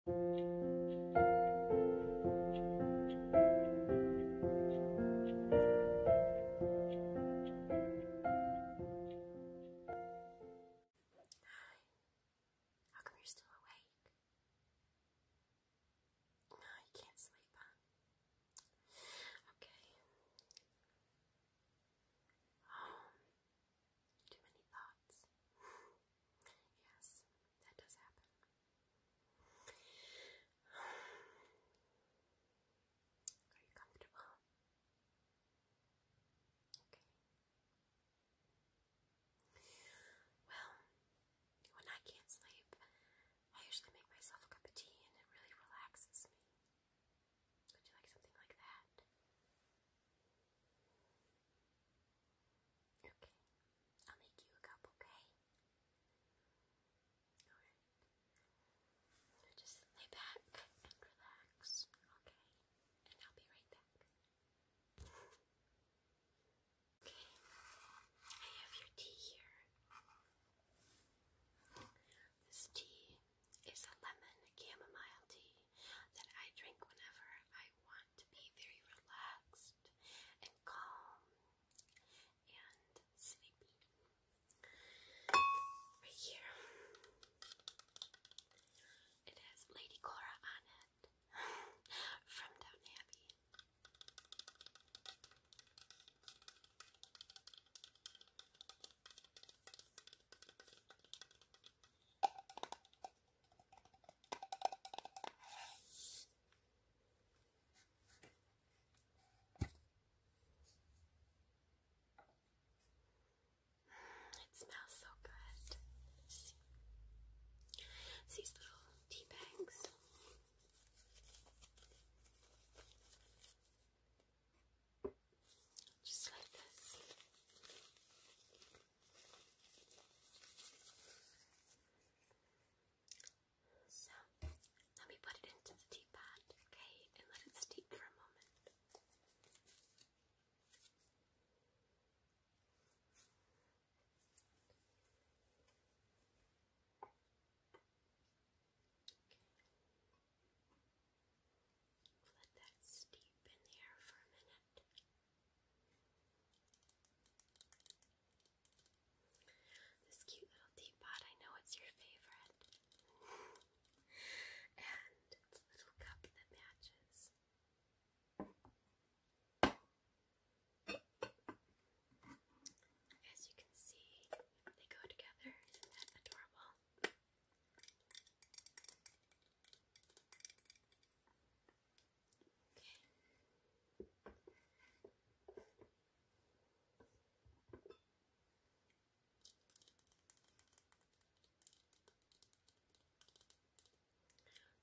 How come you're still awake? No, you can't sleep, Okay. Um, too many thoughts. yes, that does happen. Are you comfortable? Okay. Well, when I can't sleep, I usually make myself a cup of tea and it really relaxes me. Would you like something like that? Okay, I'll make you a cup, okay? Alright. just lay back and relax, okay? And I'll be right back. Okay, I have your tea here. This tea is a lemon chamomile tea that I drink whenever I want to be very relaxed and calm and sleepy. Right here, it Lady Cora on it from Down Abbey. It smells so good. See these little tea bags just like this. So, let me put it into the teapot, okay, and let it steep for a moment. Let that steep in the air for a minute. This cute little teapot, I know it's your favorite. and little cup that matches. As you can see, they go together. Isn't that adorable?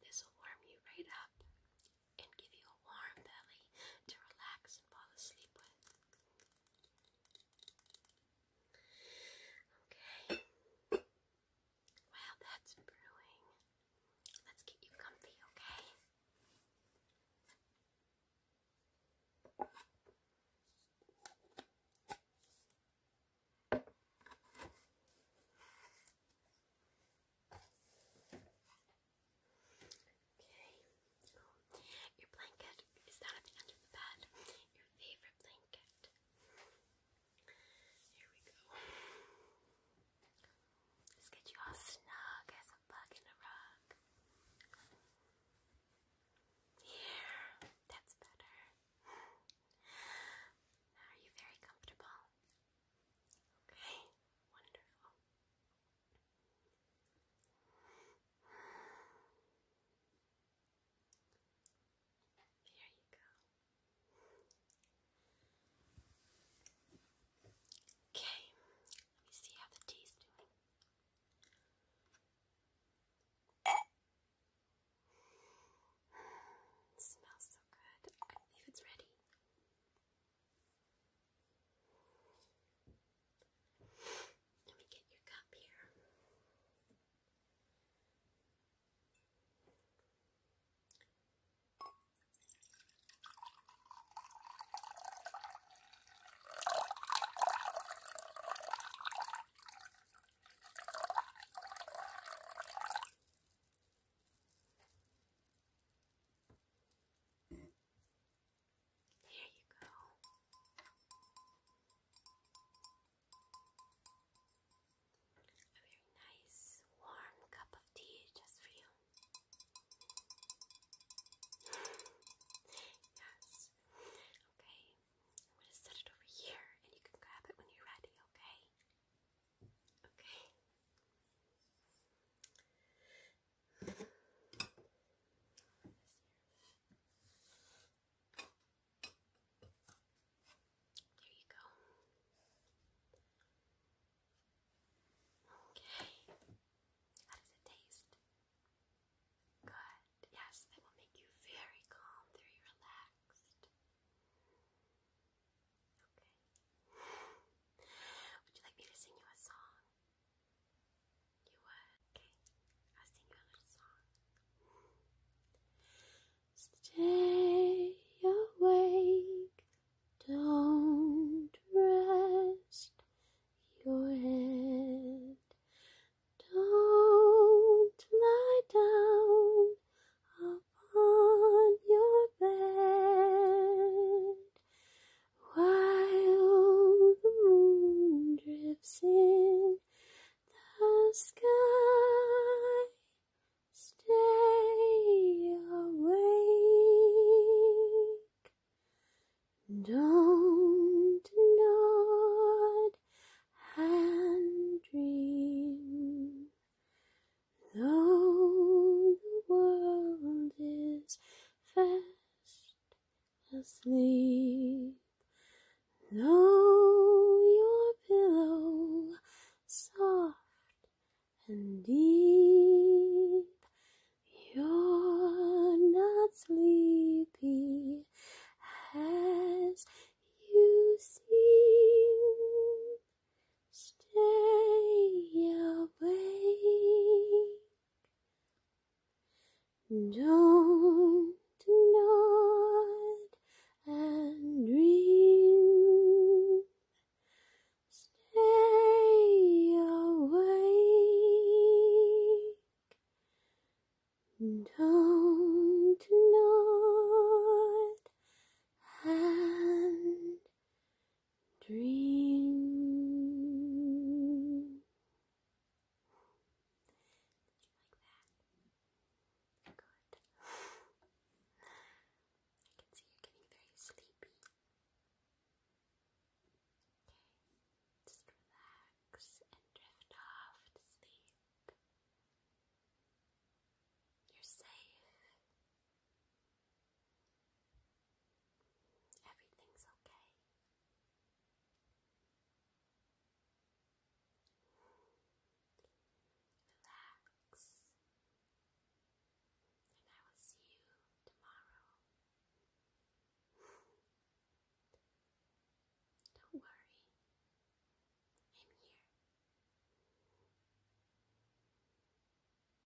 This will warm you right up and give you a warm belly to relax and fall asleep with. Okay. Wow, that's brewing. Let's get you comfy, okay? Okay. your blanket bed. Is that up under the bed? Your favorite blanket. Here we go. let get you all snug as a bug in a rug. Here, that's better. are you very comfortable? Okay, wonderful. There you go. Okay, let me see how the tea's doing. smells so good. I believe it's ready. Let me get your cup here. Here you go. A very nice warm cup of tea just for you. yes. Okay. I'm going to set it over here and you can grab it when you're ready, okay? Okay. There you go. Okay. How does it taste? Good. Yes, that will make you very calm, very relaxed. Okay. Would you like me to sing you a song? Stay awake, don't rest your head. Don't lie down upon your bed while the moon drifts in the sky. Stay awake. Don't nod and dream. Though the world is fast asleep. No, your pillow soft and deep, you're not sleepy as you seem. Stay away. Don't nod and dream. Stay awake. Don't nod and dream. Good. I can see you're getting very sleepy. Okay, just relax and drift off to sleep. You're safe. Everything's okay. Relax, and I will see you tomorrow. Don't worry, I'm here.